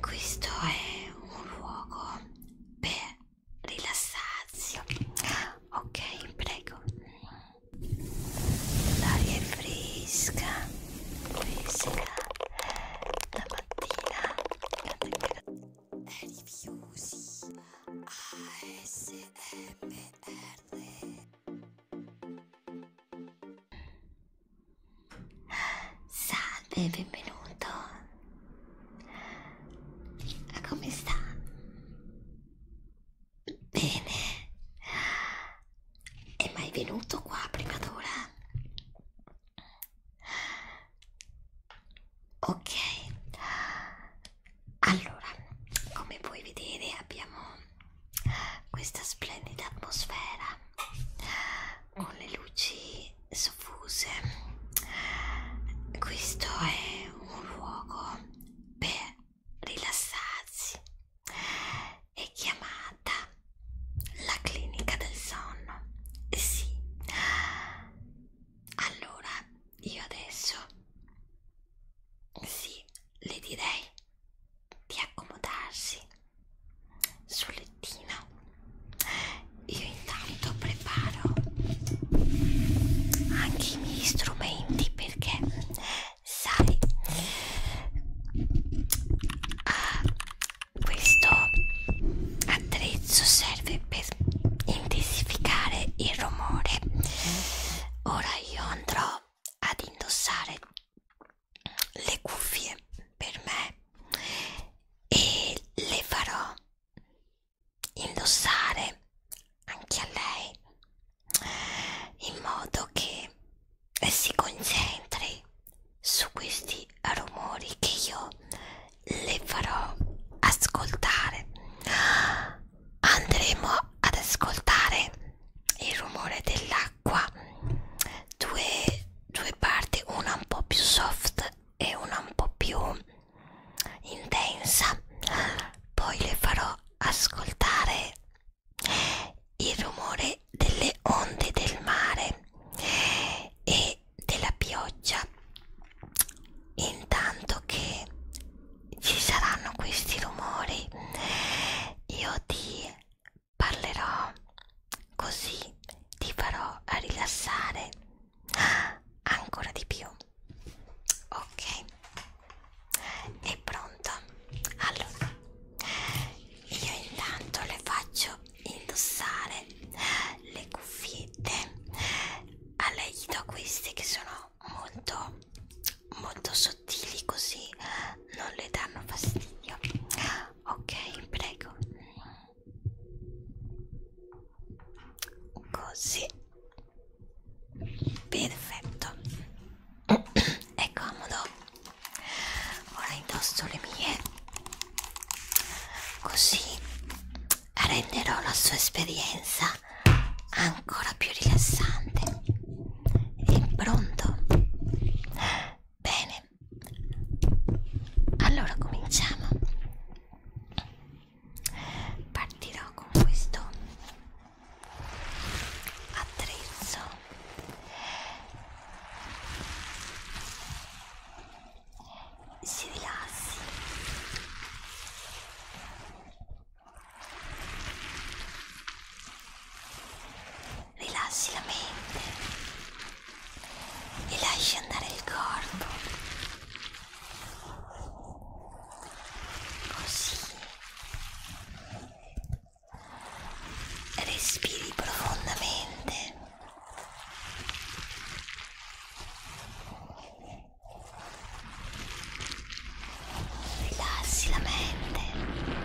questo è un luogo per rilassarsi ok prego l'aria è fresca fresca la mattina la temperatura è rifiusi ASMR Salve, benvenuto. Come sta? Bene. È mai venuto qua prima d'ora? Ok. Allora, come puoi vedere abbiamo questa splendida atmosfera con le luci soffuse questo è un luogo per rilassarsi è chiamata la clinica del sonno eh sì allora io adesso sì le direi di accomodarsi sul lettino io intanto preparo anche i miei strumenti perché sai questo attrezzo serve per intensificare il rumore ora io andrò ad indossare le cuffie per me e le farò indossare anche a lei in modo che si concentri su questi rumori che io le farò ascoltare andremo ad ascoltare il rumore della acqua due, due parti una un po' più soft e una un po' più intensa poi le farò ascoltare il rumore delle onde del mare e della pioggia intanto che ci saranno questi rumori io ti parlerò così ti farò rilassare ancora di più ok è pronto allora io intanto le faccio indossare le cuffiette a lei gli do queste che sono molto molto sottili così non le danno fastidio ok prego così perfetto è comodo ora indosso le mie così renderò la sua esperienza ancora più rilassante e pronto bene allora cominciamo partirò con questo attrezzo si rilassi rilassi la mente e lasci andare il corpo così respiri profondamente rilassi la mente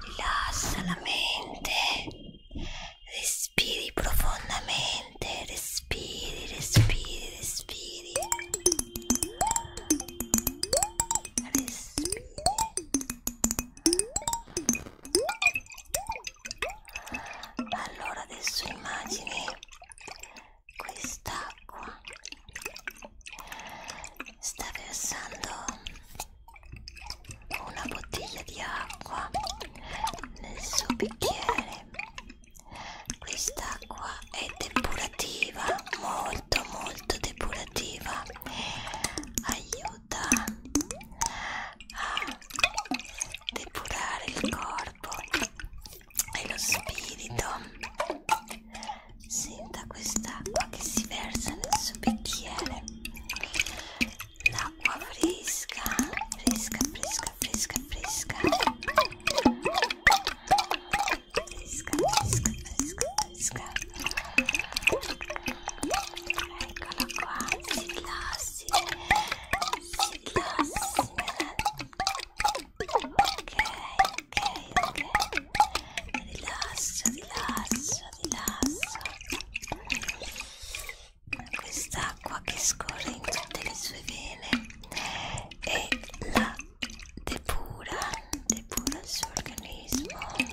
Rilassa la mente, respiri profondamente, respiri, respiri, respiri respiri allora adesso immagini quest'acqua sta versando una bottiglia di acqua nel suo bicchiere quest'acqua è depurativa molto molto molto depurativa aiuta a depurare il corpo e lo spirito senta quest'acqua che si versa nel suo bicchiere l'acqua fresca fresca fresca fresca fresca Esca, Eccola qua, si glassi, si glassi. Ok, ok, ok. Rilascio, rilascio, rilascio. Quest'acqua che scorre in tutte le sue vene e la depura, depura il suo organismo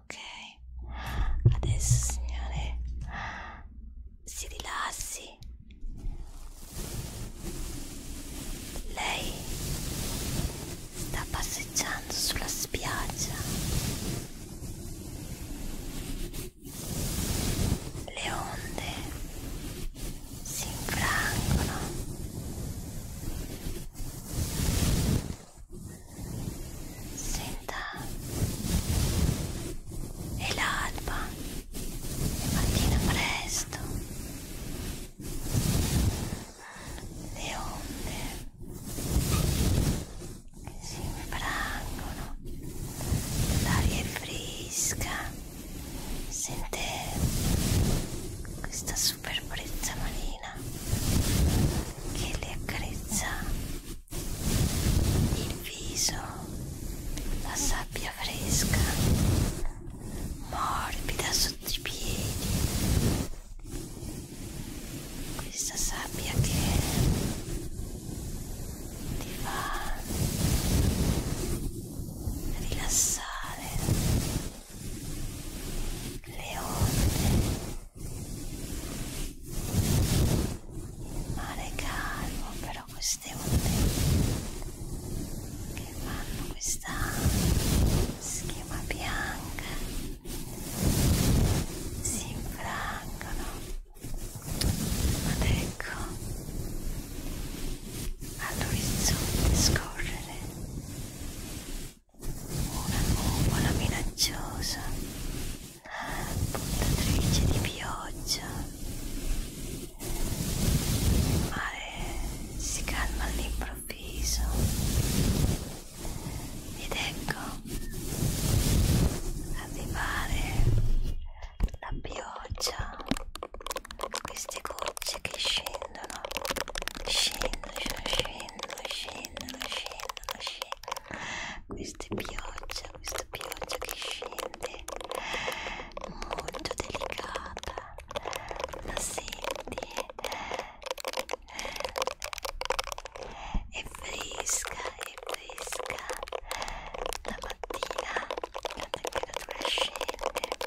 ok adesso signore si rilassi lei sta passeggiando sulla spiaggia le onde si infrangono Senta, è l'alba, è mattina presto, le onde si infrangono, l'aria è fresca, sente questa super purezza marina che le accarezza il viso, la sabbia fresca, morbida sotto i piedi, questa sabbia che ti fa rilassare le onde il mare calmo, però queste onde che fanno questa schiuma bianca si infrangono ed ecco all'orizzonte scorrere una nuvola minacciosa, portatrice di pioggia. Il mare si calma all'improvviso ed ecco arrivare la pioggia, queste gocce che scendono, scendono, scendono scendo, scendo, scendo, scendo. Questa è pioggia, questa pioggia che scende, molto delicata. La senti? È fresca, è fresca. La mattina la temperatura scende.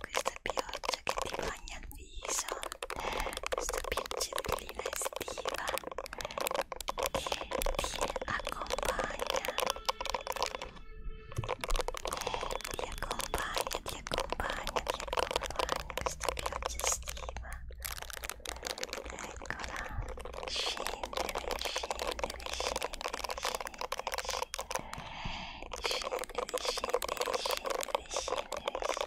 Questa pioggia viso che ti bagna il viso questa piaccellina estiva che ti accompagna eh, ti accompagna, ti accompagna, ti accompagna questa pioggia estiva eccola scendere, scendere, scendere, scendere scendere, scendere, scendere, scendere, scendere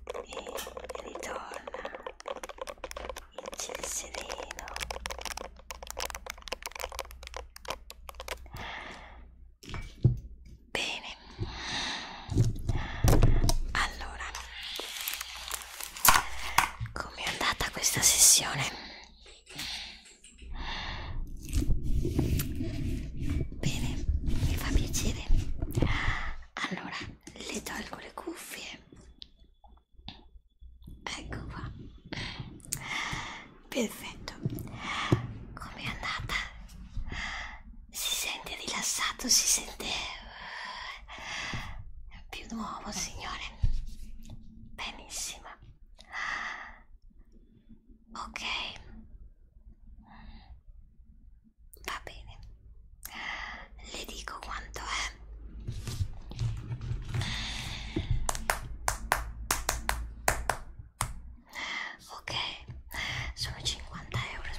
e ritorna il ciel sereno bene allora come è andata questa sessione Bene, mi fa piacere. Allora, le tolgo le cuffie. Ecco qua. Perfetto. Com'è andata? Si sente rilassato, si sente eh, più nuovo, signore. Benissimo. Ok. Va bene, le dico quanto è. Ok, sono 50 euro.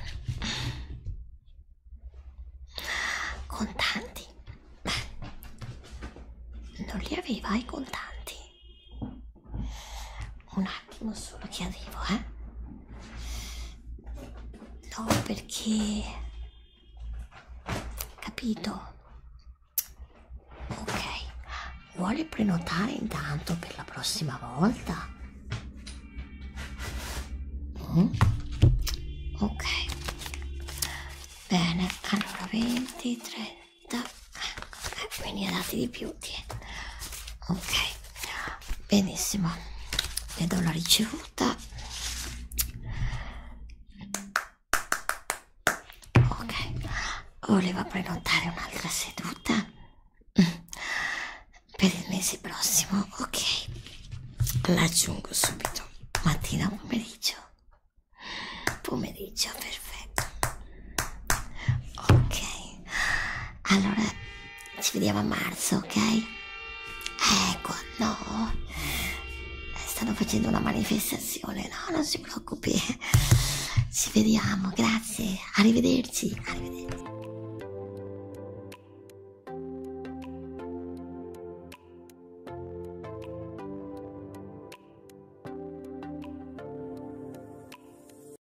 Contanti? Beh, non li aveva i contanti un attimo solo che arrivo eh no perché capito ok vuole prenotare intanto per la prossima volta mm? ok bene allora 20 30 quindi dati di più ok benissimo le do la ricevuta ok voleva prenotare un'altra seduta per il mese prossimo ok l'aggiungo subito mattina pomeriggio pomeriggio perfetto Ok, allora ci vediamo a marzo, ok? Ecco, no, eh, stanno facendo una manifestazione, no, non si preoccupi. Ci vediamo, grazie, arrivederci, arrivederci.